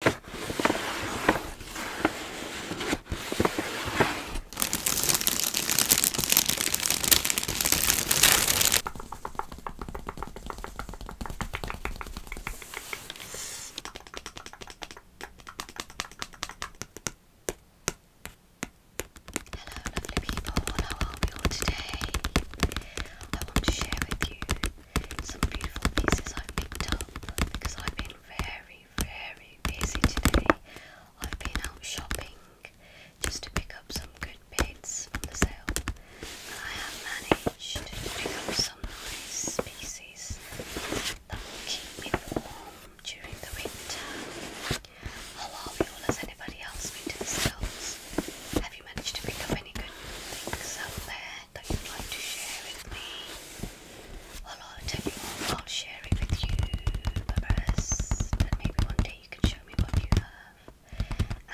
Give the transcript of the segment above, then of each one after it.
Hello lovely people, how all today? I want to share with you some beautiful pieces I've picked up because I've been very, very busy today. I've been out shopping just to pick up some good bits from the sale, and I have managed to pick up some nice pieces that will keep me warm during the winter. How are we all? Has anybody else been the sales? Have you managed to pick up any good things out there that you'd like to share with me? Well, I'll I'll share it with you, Barbaras, and maybe one day you can show me what you have,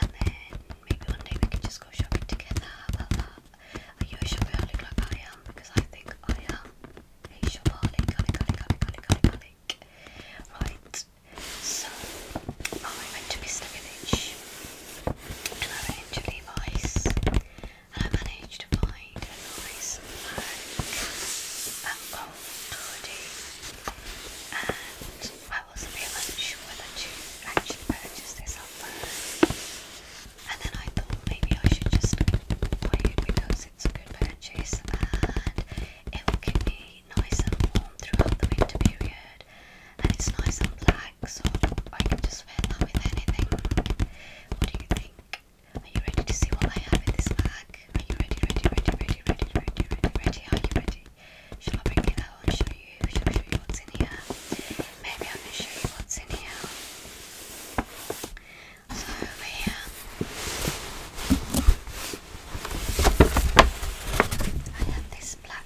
and then maybe one day we can just go shopping together. Are you a shopaholic like I am? Because I think I am a shopaholic, holic, holic, holic, holic, holic, Right, so I went to Mr. Village and I went to Levi's. I managed to find a nice black mango hoodie and I wasn't really sure whether to actually purchase this or not. And then I thought maybe I should just buy it because it's a good purchase and it will keep me nice and warm throughout the winter period and it's nice and black so I can just wear that with anything. What do you think? Are you ready to see what I have in this bag? Are you ready, ready, ready, ready, ready, ready, ready, ready? Are you ready? Shall I bring it out and show you? Shall I show you what's in here? Maybe I can show you what's in here. So here, I have this black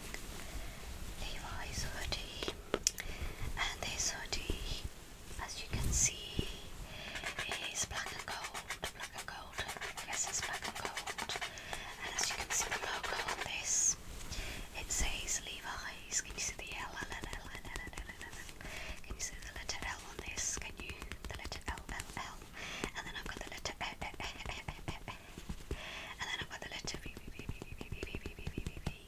Levi's hoodie and this hoodie, as you can see, is black and gold, black and gold, yes it's black and gold, and as you can see the logo on this, it says Levi's, can you see the L, L, L, L, L, L, L, L, can you see the letter L on this, can you, the letter L, L, L, and then I've got the letter E, E, E, E, E, E, and then I've got the letter V, V, V, V, V, V, V, V, V, V, V, V,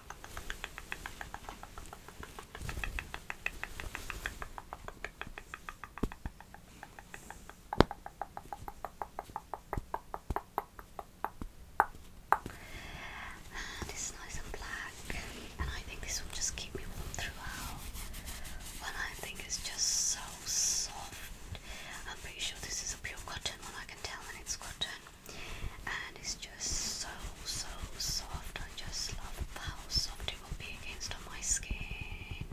And ah, it's nice and black, and I think this will just keep me warm throughout. One I is just so soft. I'm pretty sure this is a pure cotton I can tell when it's cotton and it's just so so soft. I just love how soft it will be against my skin.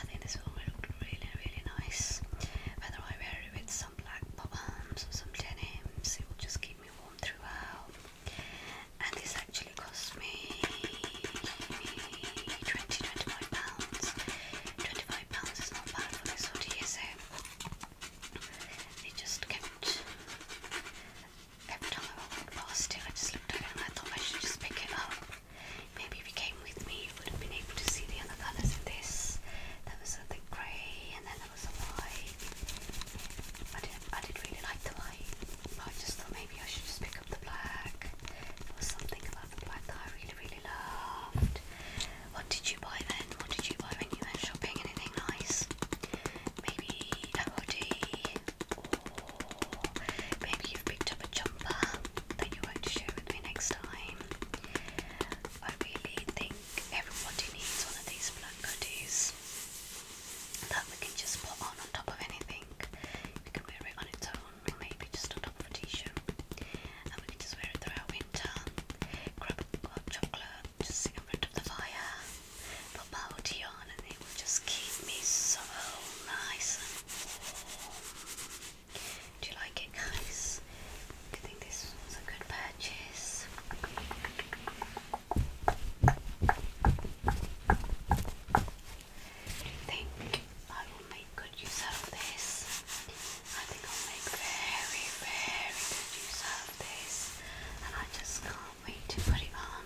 I think this will look really really nice. Whether I wear it with some black bottoms or some denims, it will just keep me warm throughout. And this actually cost me twenty twenty five pounds. Twenty five pounds is not bad for this hoodie, is it? It just kept every time I walked past it, I just looked at it and I thought I should just pick it up. Maybe if you came with me, you would have been able to see the other colours in this. There was a grey and then there was a white. I did, I did really like the white, I just thought maybe I should just pick up the black. There something about the black that I really, really loved. What did you buy then? What did you buy when you went shopping? Anything nice? maybe an hoodie, or maybe you've picked up a jumper that you will to share with me next time. I really think everybody needs one of these black hoodies that we can just put on on top of anything. We can wear it on its own, or maybe just on top of a t-shirt, and we can just wear it throughout winter. Grab a chocolate just get rid of the fire, put bubble tea on, and it will just keep me so nice and warm. Do you like it, guys? I think this was a good purchase. Do you think I will make good use of this? I think I'll make very, very good use of this, and I just can't wait to put it on.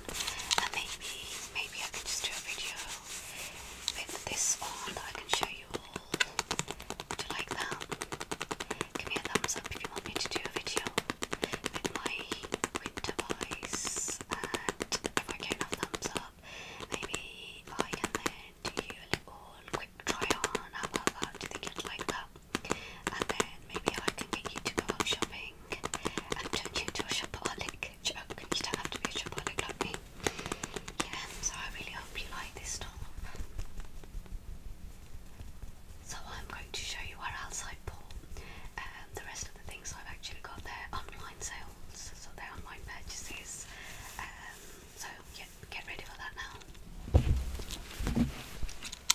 And maybe, maybe I can just do a video with this on that I can show you all. Do you like that? Give me a thumbs up if you want me to do a video with my winter voice. if I get enough thumbs up, maybe I can then do a little quick try on. How about Do you think you'd like that? and then maybe I can get you to go out shopping and turn you into a shopaholic. you don't have to be a like me. Yeah, so I really hope you like this stuff. So I'm going to show you where else I bought um, the rest of the things I've actually got. there online sales, so they're online purchases. Um, so yeah, get ready for that now.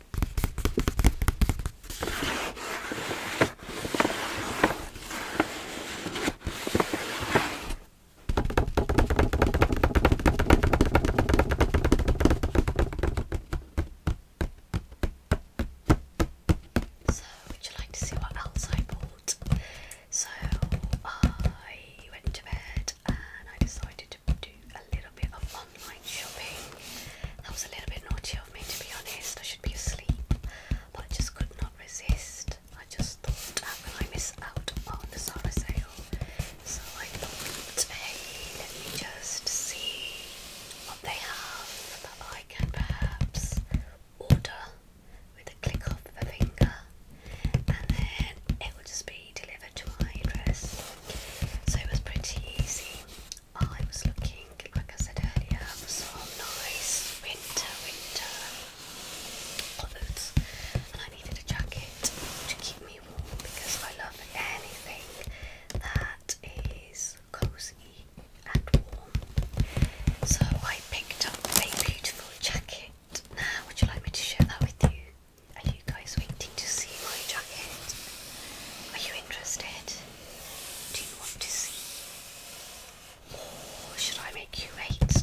So, would you like to see what else I bought? So, I went to bed and I decided to do do a little bit of online shopping. That was a little bit naughty of me, to be honest. I should be asleep, but I just could not resist. I just thought, how can I miss out on the Zara sale? So I thought, hey, let me just see what they have that I can perhaps order with a click of the finger, and then it will just be delivered to my address. So it was pretty easy. I was looking, like I said earlier, for some nice winter, winter clothes, and I needed a jacket to keep me warm because I love anything that is cozy and warm. So I picked up a beautiful jacket. Now, would you like me to share that with you? Are you guys waiting to see my jacket? Are you interested? Do you want to see? Or should I make you wait?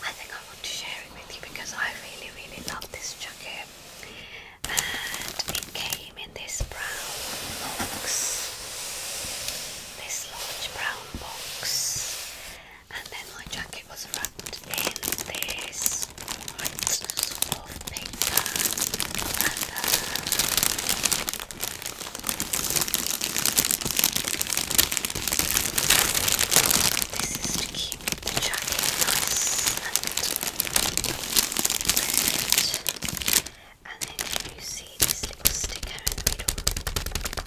I think I want to share it with you because I really, really love this jacket. And it came in this brown box. This large brown box and then my jacket was wrapped in this white sort of paper uh, This is to keep the jacket nice and and then you see this little sticker in the middle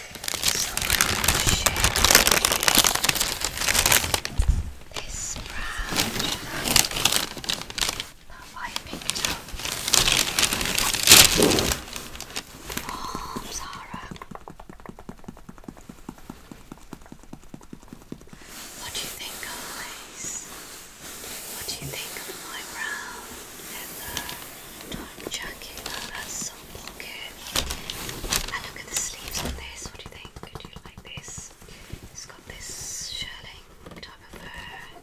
So I this brown that I picked up from What do you think, guys? What do you think of my brown leather? jacket, oh, that's so and look at the sleeves on this. What do you think? Do you like this? It's got this shirling type of fur.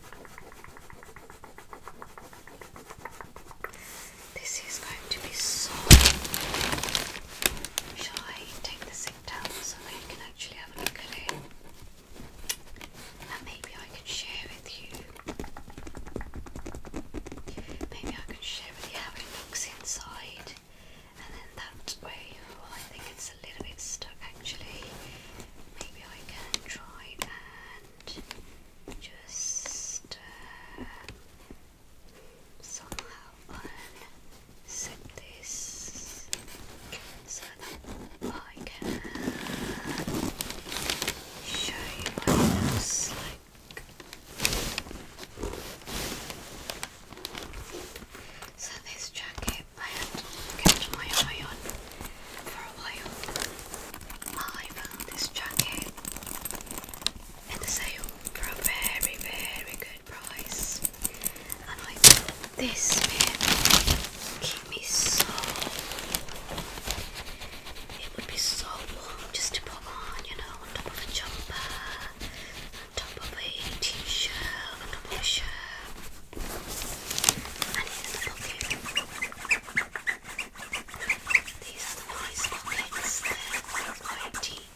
This is going to be so. Shall I take the zip down so that can actually have a look at it? And maybe I can share with you Maybe I can share you how it looks inside, and then that way, I think it's a little bit stuck actually. Maybe I can try and just uh, somehow unzip this so that I can show you what it looks like. So this jacket I had to kept my eye on for a while. I found this jacket in the sale for a very, very good price. And I thought this will keep me so it would be so warm just to put on, you know, on top of a jumper, on top of a t-shirt, on top of a shirt, and in the pocket. These are the nice pockets, they deep.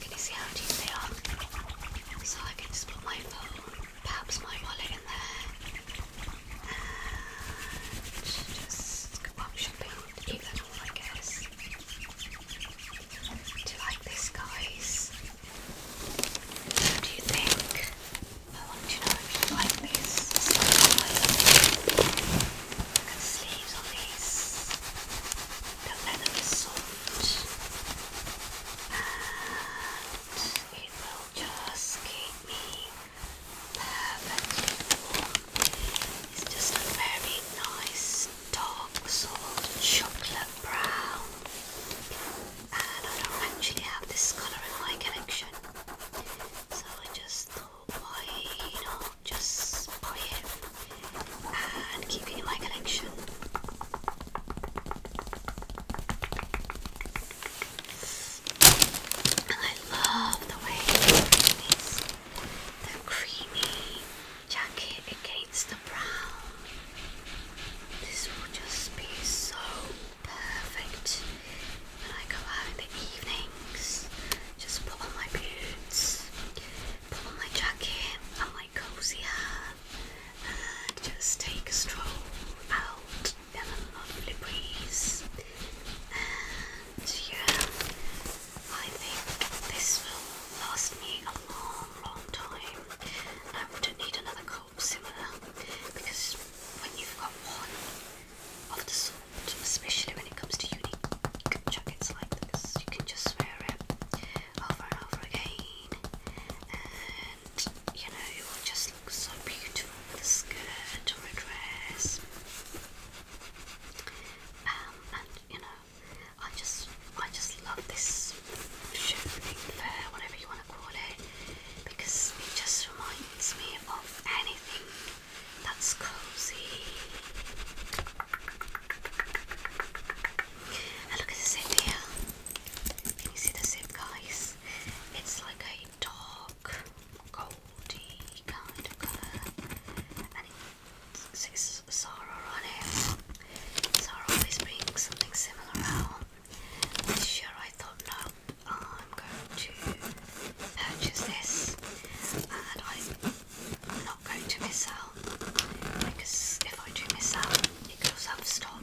Can you see how deep they are? So I can put my phone perhaps my wallet in there just go out shopping, eat them all I guess. Do you like this guys? What do you think? I want know if you like this. Look at on these. The leather is soft and it just keep me perfectly warm. It's just a very nice dark sort chocolate brown. And I don't actually have this colour in my collection. So I just thought why not just buy it and keep it in my collection. I love the way these, the creamy jacket against the brown. This will just be so perfect when I go out in the evenings. Just put on my boots, put on my jacket and my cozy hat and just take a stroll out been a lovely breeze, and yeah, I think this will last me a long, long time. I wouldn't need another cold simmer because when you've got one of the sort, especially when it comes to unique jackets like this, you can just wear it over and over again you know it just look so beautiful with a skirt or dress. Um, and you know, I just, I just love this shoe fair, whatever you want to call it, because it just reminds me of anything that's cozy. And look at the zip here. Can you see the zip, guys? It's like a dark, goldy kind of colour, and always brings something similar out. This year I thought, no, I'm going to purchase this, and I'm not going to miss out because if I do miss out, it could out of stock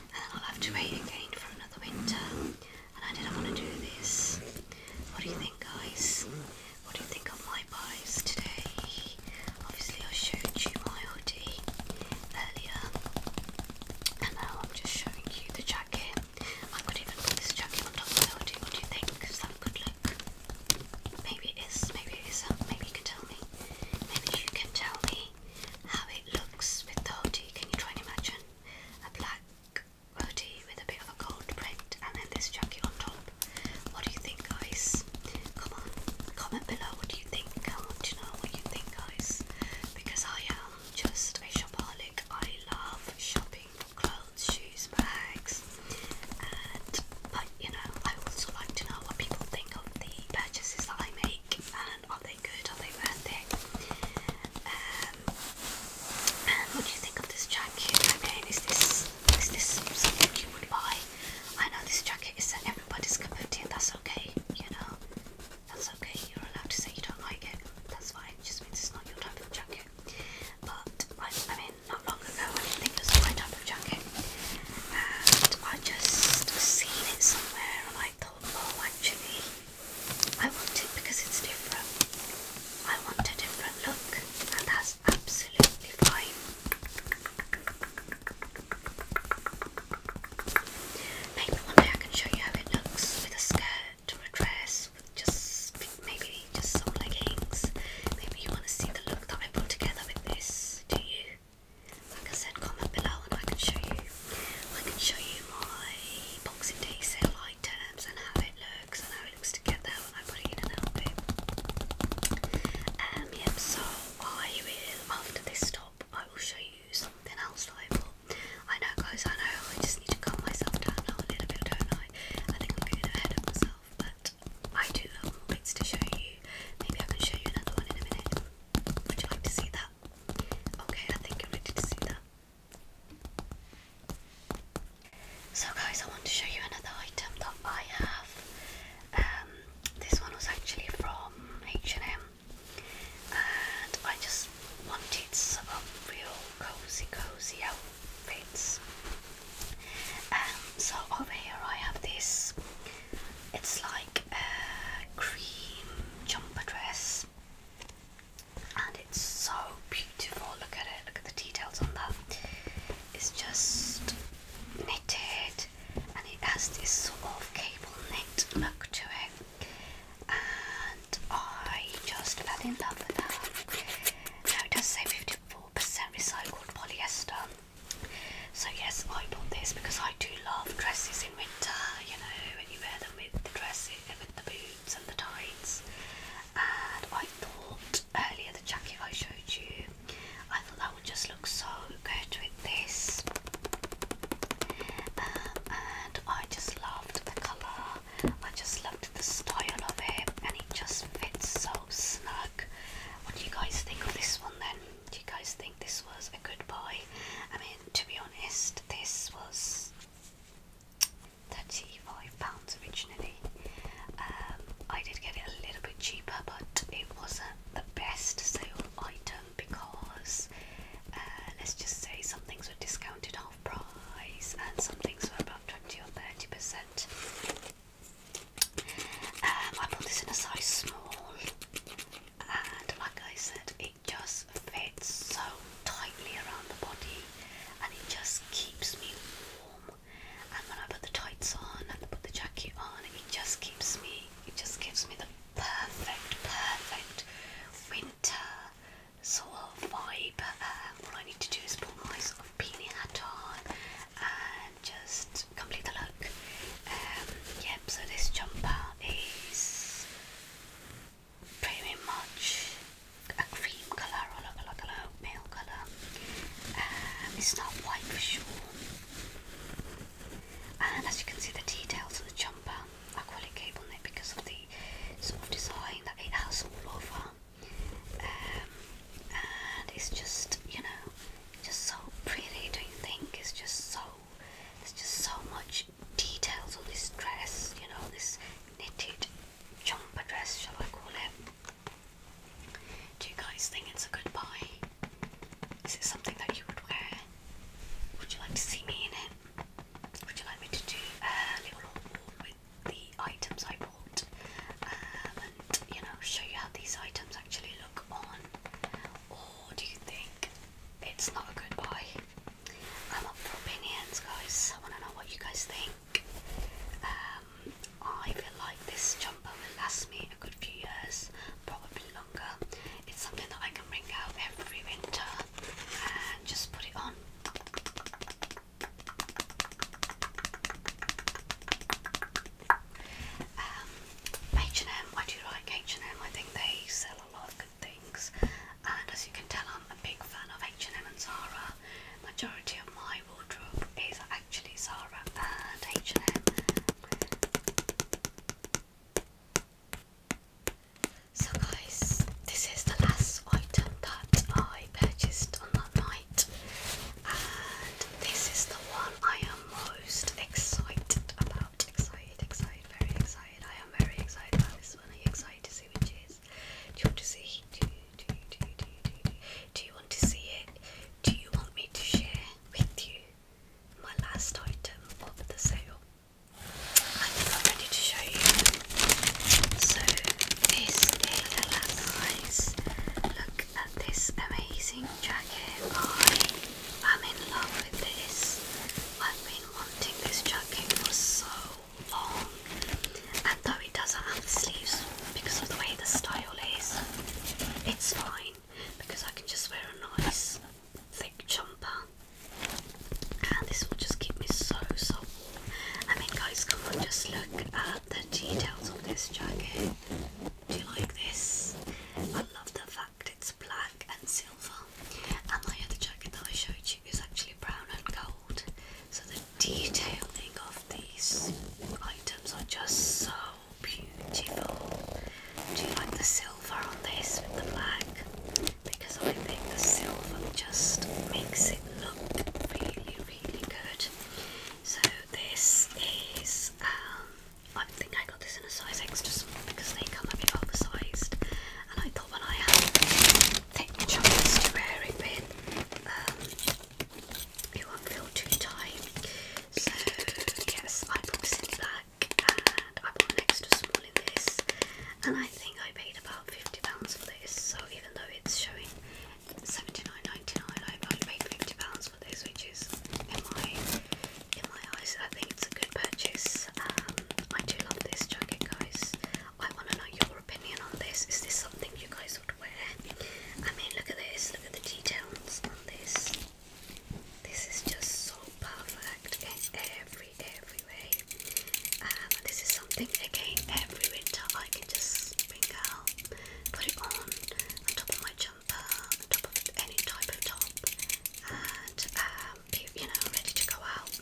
and then I'll have to wait again for another winter. And I didn't want to do this. What do you think, guys? What do you think of my buys today? Obviously, I showed you my hoodie earlier, and now I'm just showing you the jacket. I could even put this jacket on top of the hoodie. What do you think? Is that good look? Maybe it is, maybe it isn't. Maybe you can tell me. Maybe you can tell me how it looks with the hoodie. Can you try and imagine a black hoodie with a bit of a gold print and then this jacket on top? What do you think, guys? Come on, comment below. What do you think? I want to know what you think, guys, because I am just a shopaholic. I love shopping for clothes, shoes, bags, and but you know, I also like to know what people think of the purchases that I make. And and are they good? Are they worth it? Um, what do you think of this jacket? I mean, is this is this something you would buy? I know this jacket isn't everybody's cup That's okay, you know. That's okay. You're allowed to say you don't like it. That's fine. just means it's not your type of jacket. But I, I mean, not long ago, I didn't think it was my type of jacket, and I just seen it somewhere, and I thought, oh, actually, I want it because it's different. I want a different look, and that's absolutely fine. Maybe one day I can show you how it looks with a skirt or a dress, with just maybe just some leggings. Maybe you want to see the look that I put together with this, do you? Like I said, comment below and I can show you. I can show you my Boxing Day sale items and how it looks and how it looks together when I put it in an album. Um, yep. So I will after this stop, I will show you something else I know, guys. I know. I just need to calm myself down a little bit, don't I? I think I'm getting ahead of myself, but I do have more to show you. Maybe I can show you another one in a minute. Would you like to see that Okay, I think you're ready to see that. So guys, I want to show you another item that I have. Um, this one was actually from H&M and I just wanted some real cozy, cozy outfits. Um, so over here I have this it's like a cream jumper dress, and it's so beautiful. Look at it, look at the details on that. It's just knitted, and it has this sort of cable knit look to it. And I just fell in love with that. Now it does say 54% recycled polyester. So yes, I bought this because I do love dresses in winter, you know, and you wear them with the dresses, with the boots and the tights. And I thought earlier the jacket I showed you, I thought that would just look so good with this. Um, and I just loved the colour, I just loved the style of it, and it just fits so snug. What do you guys think of this one then? Do you guys think? this was a good buy. I mean, to be honest, this was £35 originally. Um, I did get it a little bit cheaper, but it wasn't the best sale item because uh, let's just say some things were discounted half price and some things were about 20 or 30%. Um, I bought this in a size small and like I said it just fits so tightly around the body and it just keeps me warm and when I put the tights on and I put the jacket on it just keeps me it just gives me the perfect perfect winter sort of vibe um, all I need to do is put my sort of beanie hat on and just complete the look um, yep so this jumper is pretty much a cream colour or a, like a male colour. Um, it's not white for sure. And as you can see, the details of the jumper, I call it cable knit because of the sort of design that it has all over. Um, and it's just, you know, just so pretty, don't you think? It's just so, there's just so much details of this dress, you know, this knitted jumper dress, shall I call it? Do you guys think it's a good buy? Is it something that you would wear? Would you like to see me in it? Would you like me to do a little haul with the items I bought um, and you know show you how these items actually look on do you think it's not a good buy? I'm up for opinions, guys. I want to know what you guys think. Um, I feel like this jumper will last me a good few years, probably longer. It's something that I can bring out every winter and just put it on. H&M, I do like H&M, I think they sell a lot of good things. And as you can tell, I'm a big fan of H&M and Zara. Majority of my wardrobe is actually Zara and H&M. So guys, this is the last item that I purchased on that night. And this is the one I am most excited about out. Excited, excited, very excited. I am very excited about this one. Are you excited to see which is? Do you want to see? Do you, do you, do you, do you, do you, do you want to see it? Do you want me to share with you my last item of the sale? I think I'm ready to show you. So this is the last guys. Look at this amazing jacket. I am in love with this. I've been wanting this jacket for so long, and though it doesn't have the sleeves because of the way the style is, it's fine because I can just wear a nice thick jumper, and this will just keep me so so I mean, guys, come on, just look at the details of this jacket. Do you like this? I love the fact it's black and silver. And my other jacket that I showed you is actually brown and gold. So the detailing of these items are just so beautiful. Do you like the silver on this with the black? Because I think the silver just makes it look really, really good. So this is um, I think I got this in a size extra small because they come a bit oversized, and I thought when I had thick chunks to wear it with, um, it won't feel too tight. So yes, I bought this in black, and I bought an extra small in this, and I think I paid about fifty pounds for this. So even though it's showing seventy nine ninety nine, I only paid fifty pounds for this, which is in my in my eyes, I think it's a good purchase. Um, I do love this jacket, guys. I want to know your opinion on this. Is this something you guys would wear? I mean, look at this. Look at the details on this. This is just so perfect in every every way. Um, this is something again every winter I can just bring out, put it on on top of my jacket jumper, top of any type of top, and um, you know, ready to go out.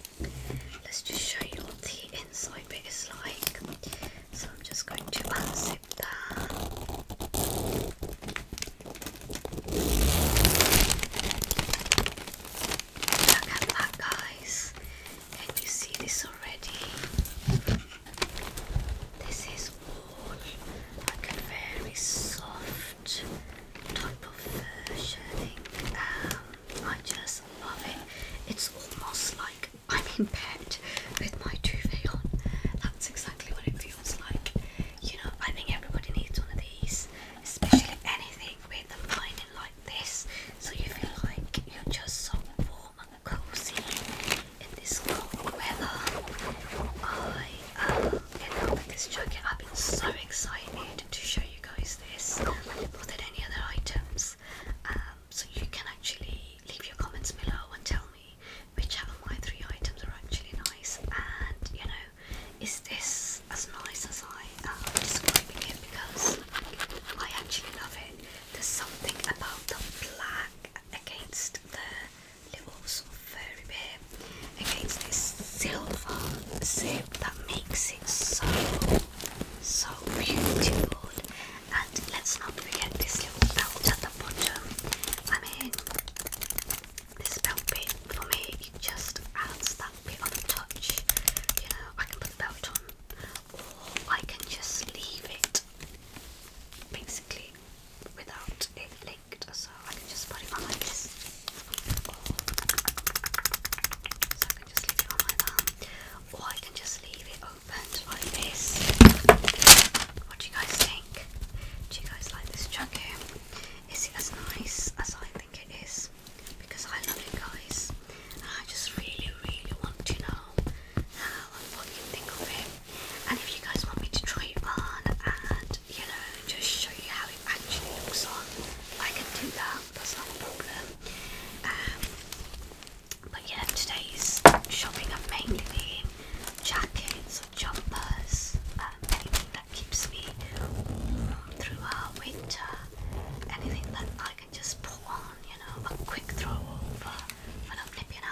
Let's just show you what the inside bit is like. So I'm just going to unzip that. Look at that, guys. Can you see this already? This is all like a very soft type of uh, shading. Um, I just love it. It's almost like I'm in bed with my duvet on. That's exactly what it feels like. You know, I think everybody needs one of these, especially anything with a lining like this, so you feel like you're just so warm and cozy in this cold weather. I Oh, um, and I've been so excited to show you guys this more than any other items. Um, so you can actually leave your comments below and tell me which of my three items are actually nice. And you know, is this as nice as I am um, describing it? Because I actually love it. There's something about the black against the levels very bit against this silver zip that makes it so so beautiful and let's not forget this little belt at the bottom I mean this belt bit for me you just add that bit on a touch you know I can put the belt on or I can just leave it basically without it so I can just put it on like this. so I can just leave it on like that. Or I can just leave it opened like this. What do you guys think? Do you guys like this jacket? Is it as nice as I think it is? Because I love it, guys. And I just really, really want to know how and what think of it. And if you guys want me to try it on and you know just show you how it actually looks on. I can do that, that's not a problem. Um, but yeah, today's shopping i mainly been jackets or jumpers, um, anything that keeps me warm throughout winter, anything that I can just put on, you know, a quick throw over when I'm nipping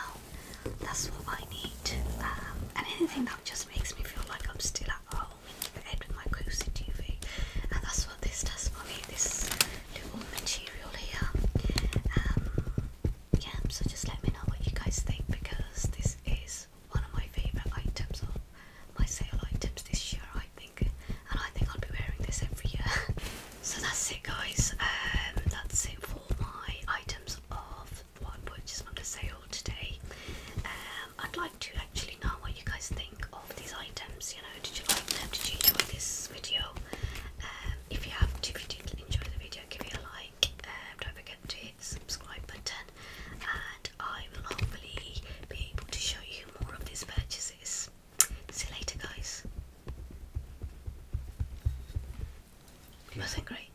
That's what I need. Um, and anything it just makes me feel like I'm still at home in bed with my cozy TV, and that's what this does for me. This little material here. Um, yeah, so just let me know what you guys think because this is one of my favourite items of my sale items this year, I think, and I think I'll be wearing this every year. so that's it, guys. Um, that's it for my items of what which is under sale today. Um, I'd like to actually know what you guys think of these items. You know, did you like them? Did you enjoy this video? Um, if you have, if you did enjoy the video, give it a like. Um, don't forget to hit the subscribe button, and I will hopefully be able to show you more of these purchases. See you later, guys. Wasn't great.